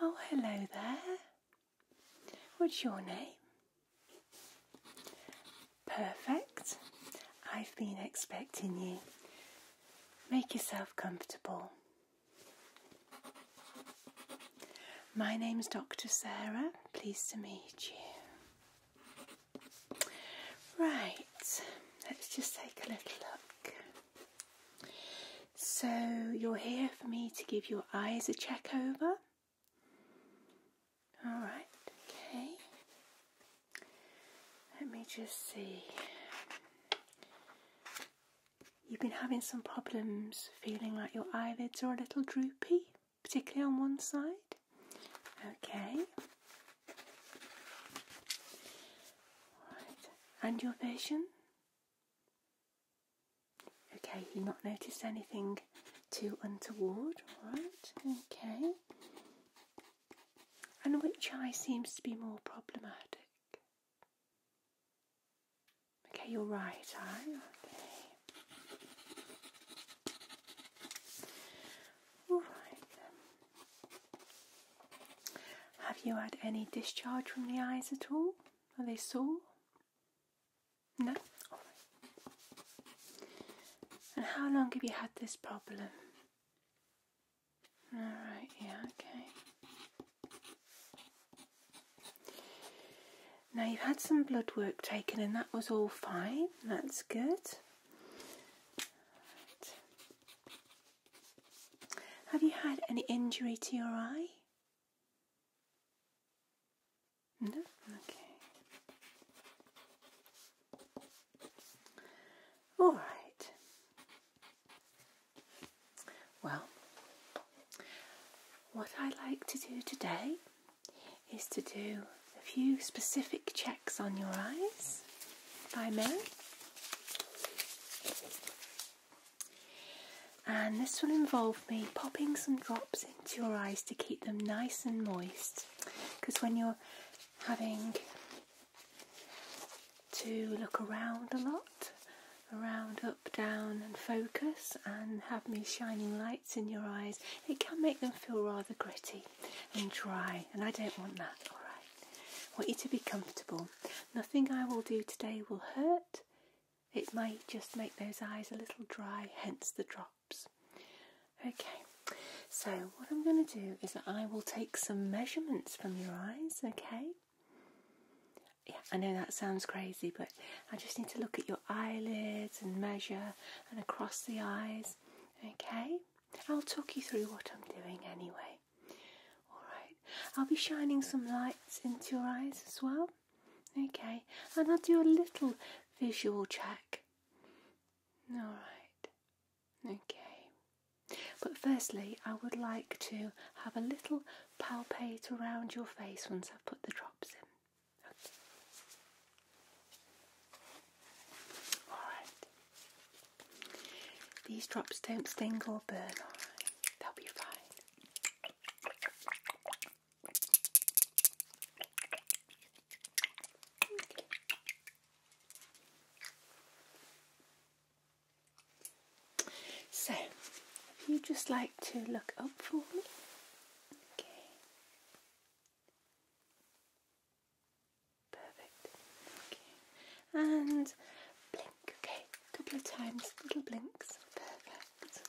Oh, hello there. What's your name? Perfect. I've been expecting you. Make yourself comfortable. My name's Dr. Sarah. Pleased to meet you. Right, let's just take a little look. So, you're here for me to give your eyes a check over. Alright, okay. Let me just see. You've been having some problems feeling like your eyelids are a little droopy, particularly on one side. Okay. And your vision? Okay, you not noticed anything too untoward, Right. Okay. And which eye seems to be more problematic? Okay, you're right eye. Have you had any discharge from the eyes at all? Are they sore? No. And how long have you had this problem? Alright, yeah, okay. Now you've had some blood work taken and that was all fine. That's good. Have you had any injury to your eye? No? Okay. All right. Well, what I like to do today is to do a few specific checks on your eyes, if I And this will involve me popping some drops into your eyes to keep them nice and moist because when you're having to look around a lot, around, up, down, and focus, and have these shining lights in your eyes, it can make them feel rather gritty and dry, and I don't want that, alright? want you to be comfortable. Nothing I will do today will hurt, it might just make those eyes a little dry, hence the drops. Okay, so what I'm going to do is that I will take some measurements from your eyes, okay? Yeah, I know that sounds crazy, but I just need to look at your eyelids and measure and across the eyes, okay? I'll talk you through what I'm doing anyway. Alright, I'll be shining some lights into your eyes as well, okay? And I'll do a little visual check. Alright, Okay. But firstly, I would like to have a little palpate around your face once I've put the drops in. Alright. These drops don't sting or burn, They'll be fine. So, if you just like to look up for me, okay. Perfect. Okay. And blink, okay, a couple of times, little blinks. Perfect.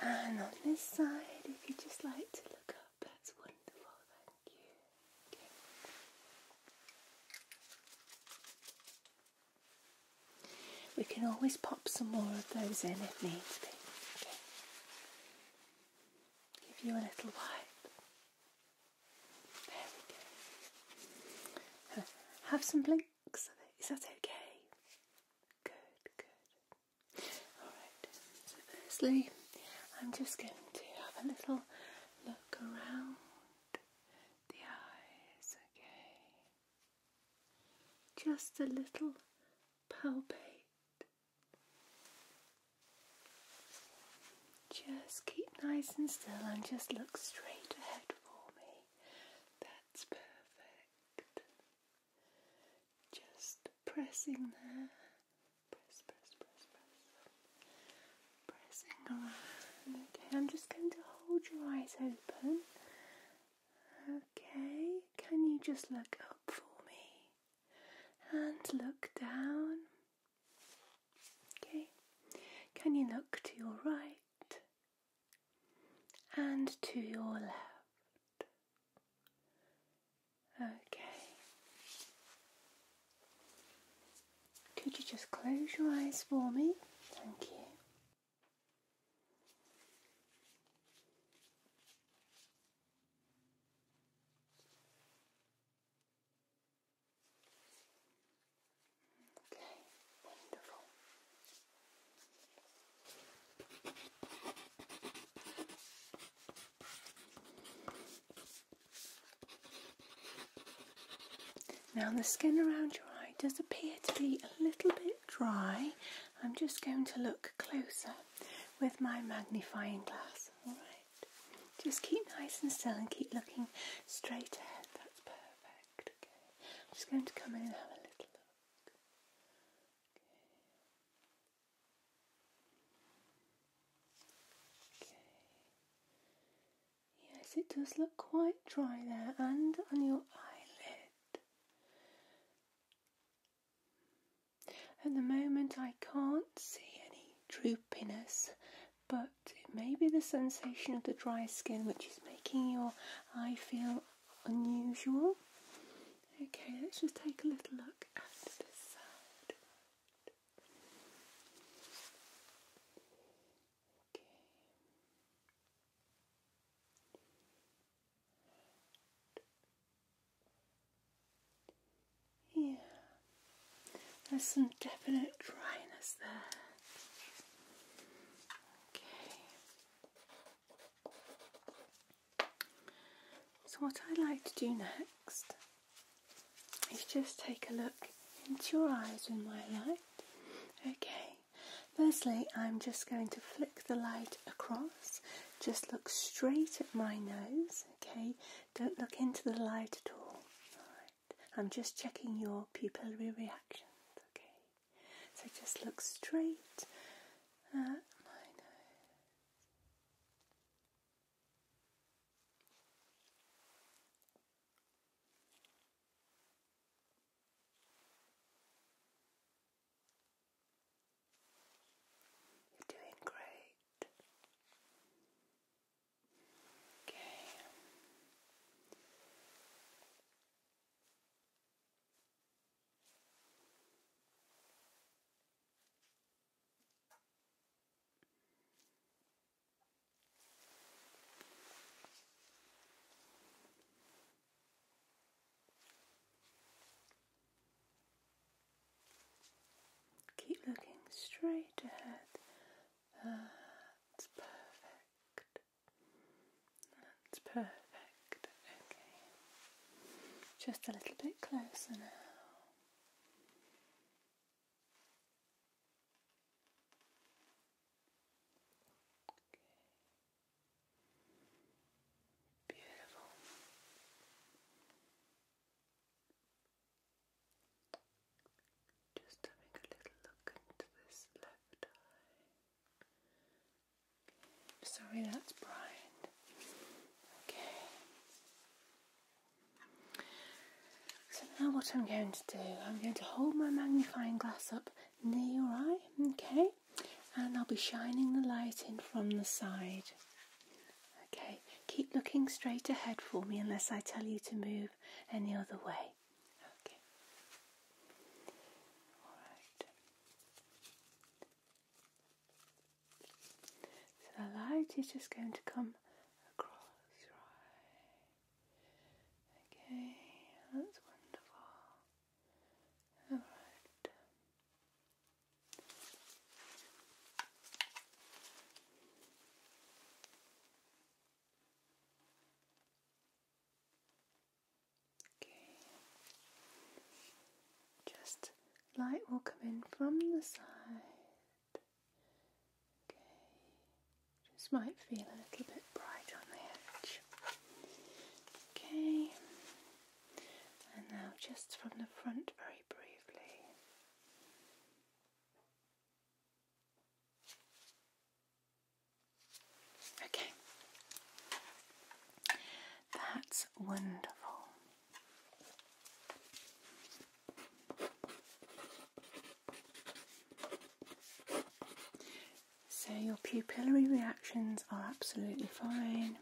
And on this side, if you'd just like to look up, that's wonderful, thank you. We can always pop some more of those in if needs be. Give you a little wipe. There we go. Have some blink is that okay? Good, good. Alright, so firstly, I'm just going to have a little look around the eyes, okay? Just a little palpate. Just keep nice and still and just look straight ahead for me. That's perfect. Just pressing there. Press, press, press, press. Pressing around. Okay, I'm just going to hold your eyes open. Okay, can you just look up for me? And look down. Okay, can you look to your right? and to your left. Okay. Could you just close your eyes for me? Thank you. Now the skin around your eye does appear to be a little bit dry. I'm just going to look closer with my magnifying glass. Alright. Just keep nice and still and keep looking straight ahead. That's perfect. I'm just going to come in and have a little look. Okay. Yes, it does look quite dry there and on your eyelid. At the moment, I can't see any droopiness, but it may be the sensation of the dry skin which is making your I feel unusual. Okay, let's just take a little look at this side. Yeah, there's some definite dryness there. Okay. So what I like to do next is just take a look into your eyes with my light. Okay. Firstly, I'm just going to flick the light across. Just look straight at my nose, okay? Don't look into the light at all. right. I'm just checking your pupillary reactions, okay? So just look straight at my You're doing great. Okay. Keep looking straight ahead. That's ah, perfect. That's perfect. Okay. Just a little bit closer now. Okay. Beautiful. Just having a little look into this left eye. Sorry, that's Brian. Okay. So now what I'm going to do, I'm going to hold my magnifying glass up near your eye, okay? And I'll be shining the light in from the side. Okay, keep looking straight ahead for me unless I tell you to move any other way. Okay. Alright. So the light is just going to come across, right? Okay, that's wonderful. Alright. Okay. Just light will come in from the side. Okay. Just might feel a little bit bright on the edge. Okay. And now just from the front very briefly. Okay. That's wonderful. So your pupillary reactions are absolutely fine,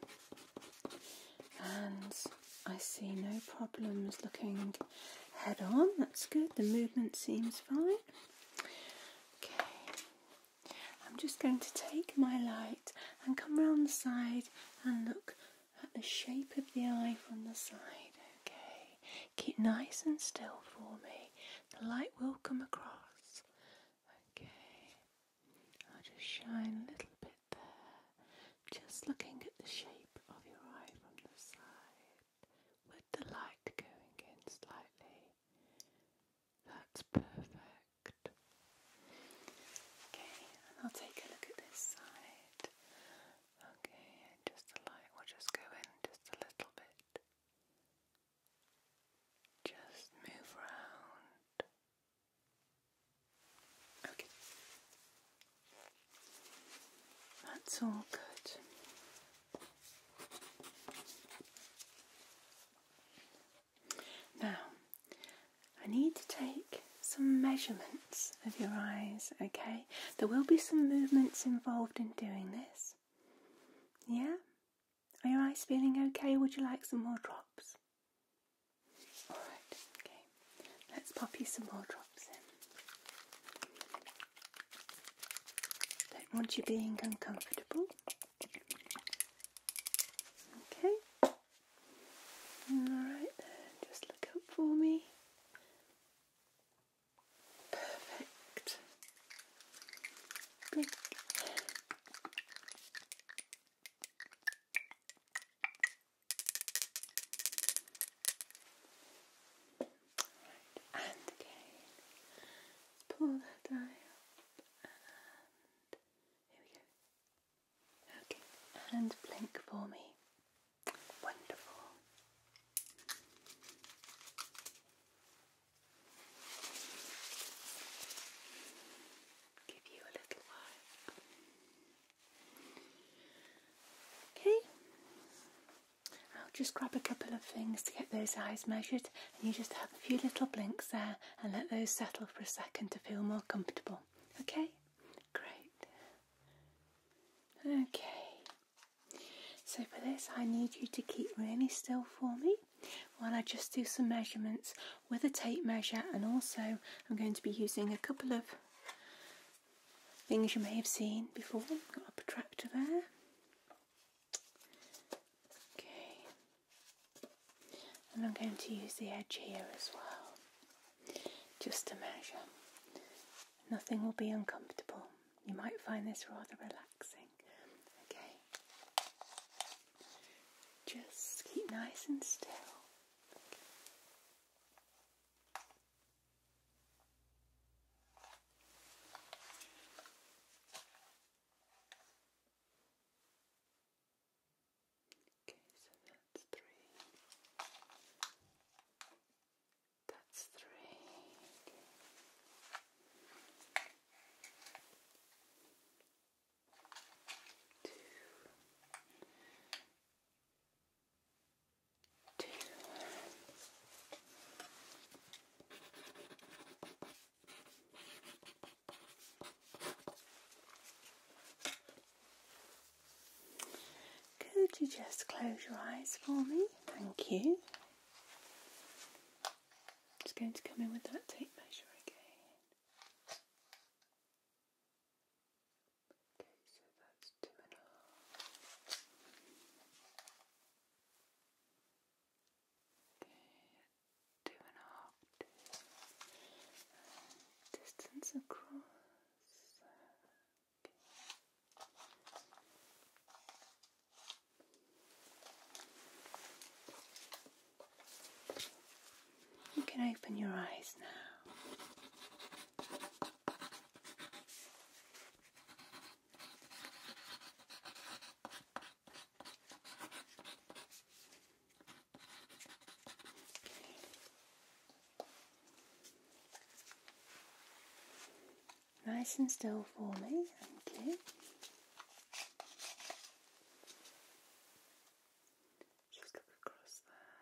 and I see no problems looking head on. That's good. The movement seems fine. Okay. I'm just going to take my light and come round the side and look at the shape of the eye from the side. Okay. Keep nice and still for me. The light will come across. Okay. I'll just shine a little bit there. Just looking at the shape of your eye from the side with the light going in slightly. That's perfect. Okay, I'll take a look at this side. Okay, just the light will just go in just a little bit. Just move around. Okay. That's all good. Now, I need to take some measurements of your eyes, okay? There will be some movements involved in doing this. Yeah? Are your eyes feeling okay? Would you like some more drops? Alright, okay. Let's pop you some more drops in. Don't want you being uncomfortable. Okay. Alright just look up for me. Perfect and again. pull that eye up and here we go. Okay, and blink for me. Wonderful. Give you a little while. Okay, I'll just grab a couple of things to get those eyes measured and you just have a few little blinks there and let those settle for a second to feel more comfortable. Okay? Great. Okay. So for this I need you to keep really still for me while I just do some measurements with a tape measure and also I'm going to be using a couple of things you may have seen before. Got a protractor there. Okay. And I'm going to use the edge here as well, just to measure. Nothing will be uncomfortable. You might find this rather relaxing. Okay. Just keep nice and still. Okay, so that's three. That's three. Okay. Two. Could you just close your eyes for me? Thank you. Just going to come in with that tape measure again. Stiminal. Okay, two and a half distance across. You can open your eyes now. Nice and still for me, thank you. Just look across there.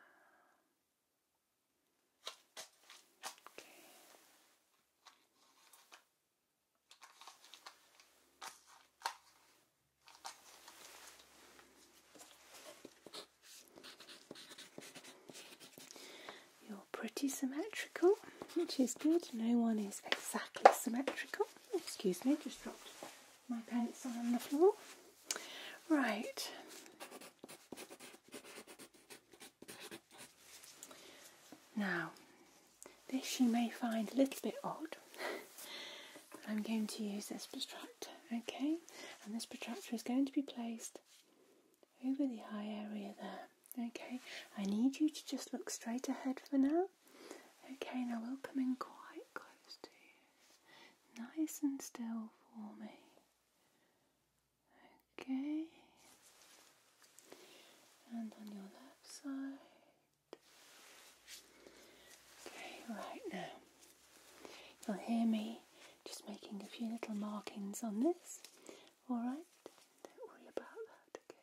You're pretty symmetrical, which is good. No one is exactly symmetrical. Excuse me, just dropped my pants on the floor. Right, now, this you may find a little bit odd, I'm going to use this protractor, okay? And this protractor is going to be placed over the eye area there, okay? I need you to just look straight ahead for now, okay? Now we'll come in quite close to you, nice and still for me. Okay, and on your left side. Okay, right now you'll hear me just making a few little markings on this. All right, don't worry about that. Okay.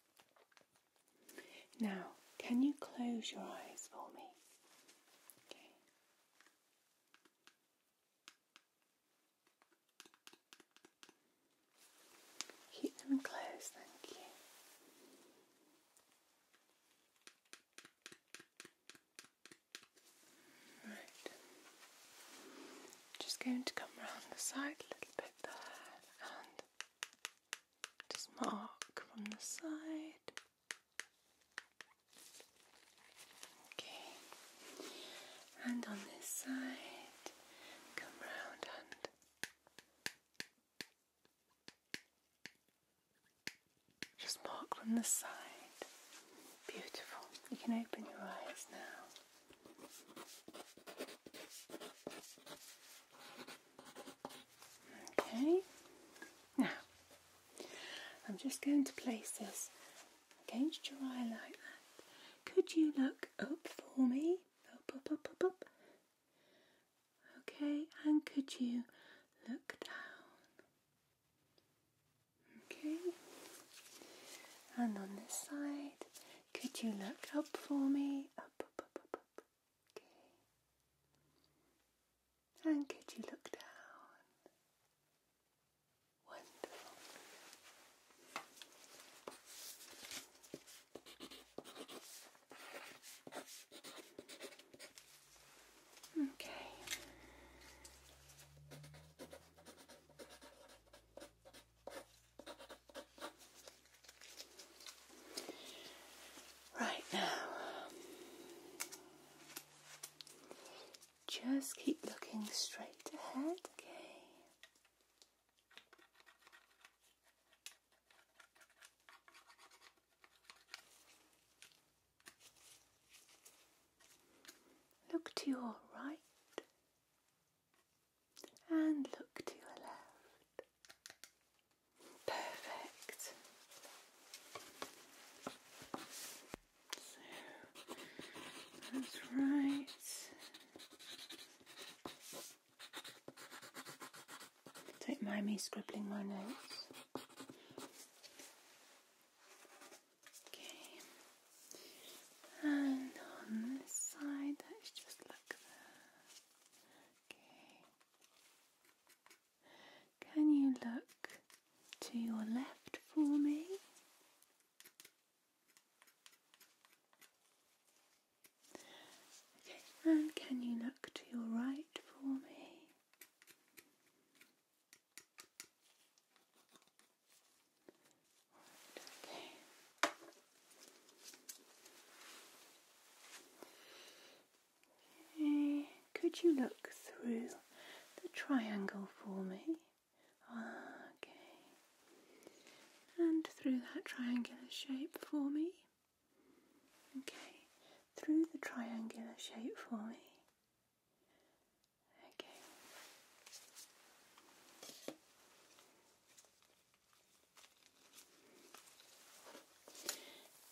Now, can you close your eyes for me? Keep them closed, thank you. Right. Just going to come around the side a little bit and just mark from the side. Okay, and on this side, come round and just mark from the side. Beautiful. You can open your eyes now. Okay, now I'm just going to place this against your eye like that. Could you look up for me? Okay, and could you look down? Okay, and on this side, could you look up for me? And could you look down? Wonderful. Okay. Right now, just keep looking straight ahead, okay? Look to your right and look to your left. Perfect. that's right. Don't mind me scribbling my notes. Okay. And on this side, let's just look Okay. Can you look to your left for me? Okay, and can you look to your right for me? Could you look through the triangle for me? Okay. And through that triangular shape for me? Okay. Through the triangular shape for me. Okay.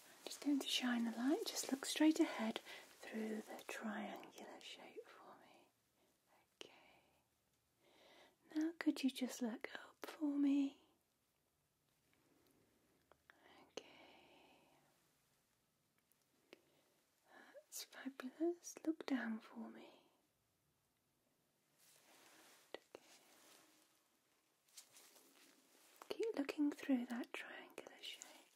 I'm just going to shine the light, just look straight ahead through the triangular shape for me. Okay. Now could you just look up for me? Okay. That's fabulous. Look down for me. Keep looking through that triangular shape.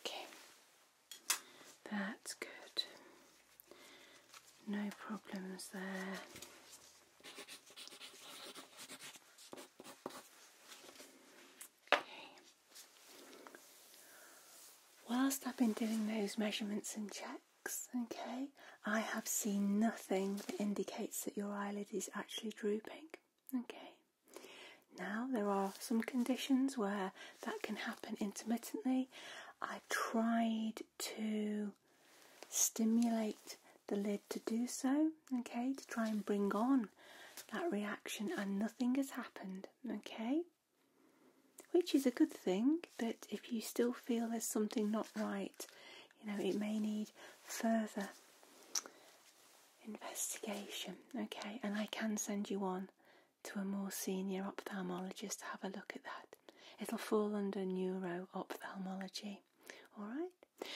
Okay, that's good. No problems there. Okay. Whilst I've been doing those measurements and checks, okay, I have seen nothing that indicates that your eyelid is actually drooping. Okay. Now, there are some conditions where that can happen intermittently. I tried to stimulate the lid to do so, okay, to try and bring on that reaction, and nothing has happened, okay? Which is a good thing, but if you still feel there's something not right, you know, it may need further investigation. Okay, and I can send you on to a more senior ophthalmologist to have a look at that. It'll fall under neuro ophthalmology. All right.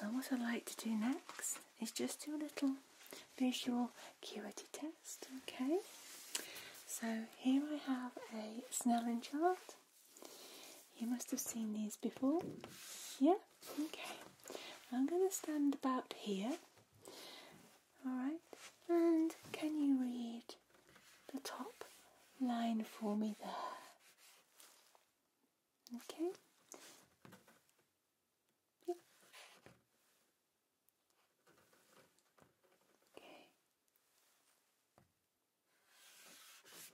Now, what I'd like to do next is just do a little visual acuity test. Okay. So here I have a Snellen chart. You must have seen these before. Yeah. Okay, I'm going to stand about here. Alright, and can you read the top line for me there? Okay. Yep. Okay.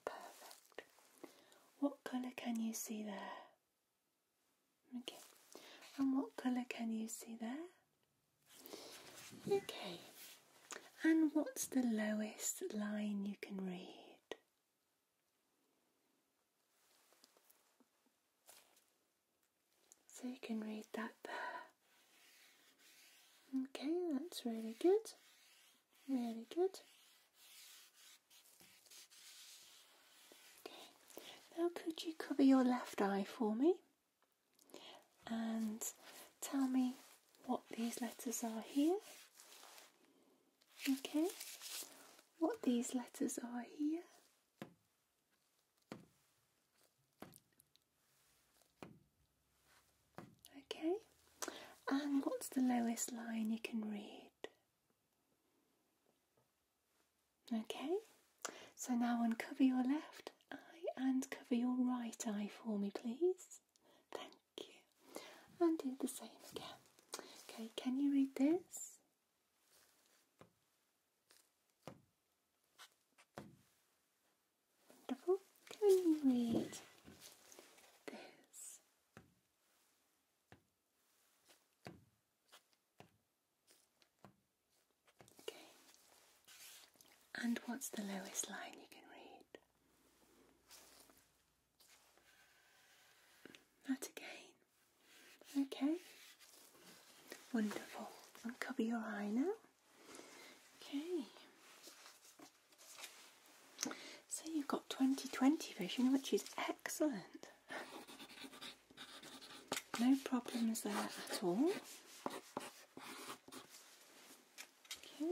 Perfect. What colour can you see there? Okay. And what colour can you see there? Okay. And what's the lowest line you can read? So you can read that there. Okay, that's really good. Really good. Now, could you cover your left eye for me and tell me what these letters are here? Okay, what these letters are here? Okay, and what's the lowest line you can read? Okay, so now uncover your left eye and cover your right eye for me, please. Thank you. And do the same again. Okay, can you read this? Wonderful. Can you read this? And what's the lowest line you can read? That again. Okay. Wonderful. Uncover your eye now. Okay. So you've got 2020 vision, which is excellent. No problems there at all. Okay.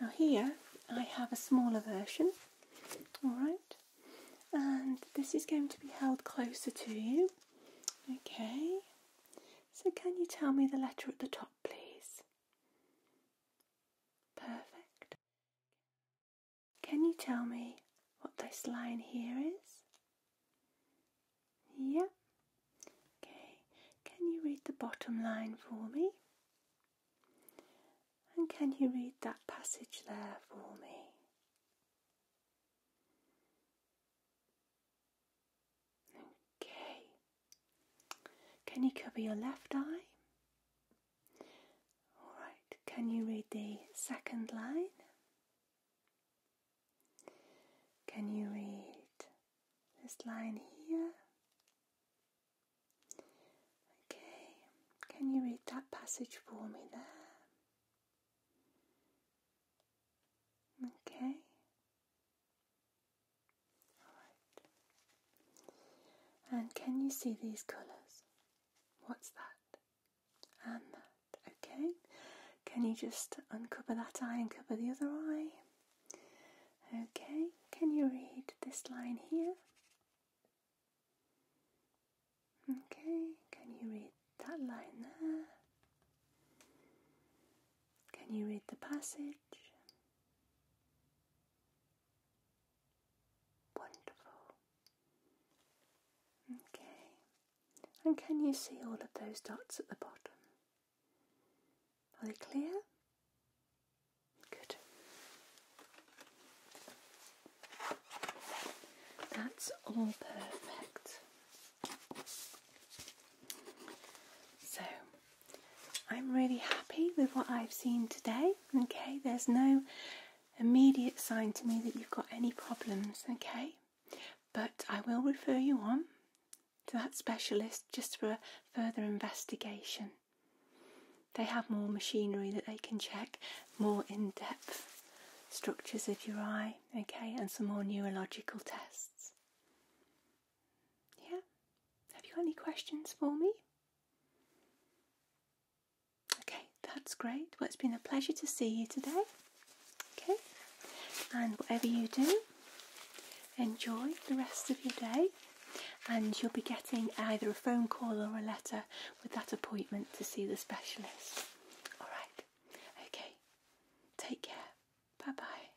Now here I have a smaller version, alright, and this is going to be held closer to you. Okay, so can you tell me the letter at the top, please? Perfect. Can you tell me what this line here is? Yeah. Okay. Can you read the bottom line for me? And can you read that passage there for me? Okay. Can you cover your left eye? Alright, can you read the second line? Can you read this line here? Okay, can you read that passage for me there? Okay, and can you see these colours? What's that? And that. Okay. Can you just uncover that eye and cover the other eye? Okay. Can you read this line here? Okay. Can you read that line there? Can you read the passage? Wonderful. Okay. And can you see all of those dots at the bottom? Are they clear? Good. That's all perfect. So I'm really happy with what I've seen today. Okay, there's no immediate sign to me that you've got any problems. Okay, but I will refer you on to that specialist just for a further investigation. They have more machinery that they can check more in depth structures of your eye, okay, and some more neurological tests. Yeah? Have you got any questions for me? Okay, that's great. Well, it's been a pleasure to see you today. Okay? And whatever you do, enjoy the rest of your day. And you'll be getting either a phone call or a letter with that appointment to see the specialist. Alright, okay. Take care. Bye bye.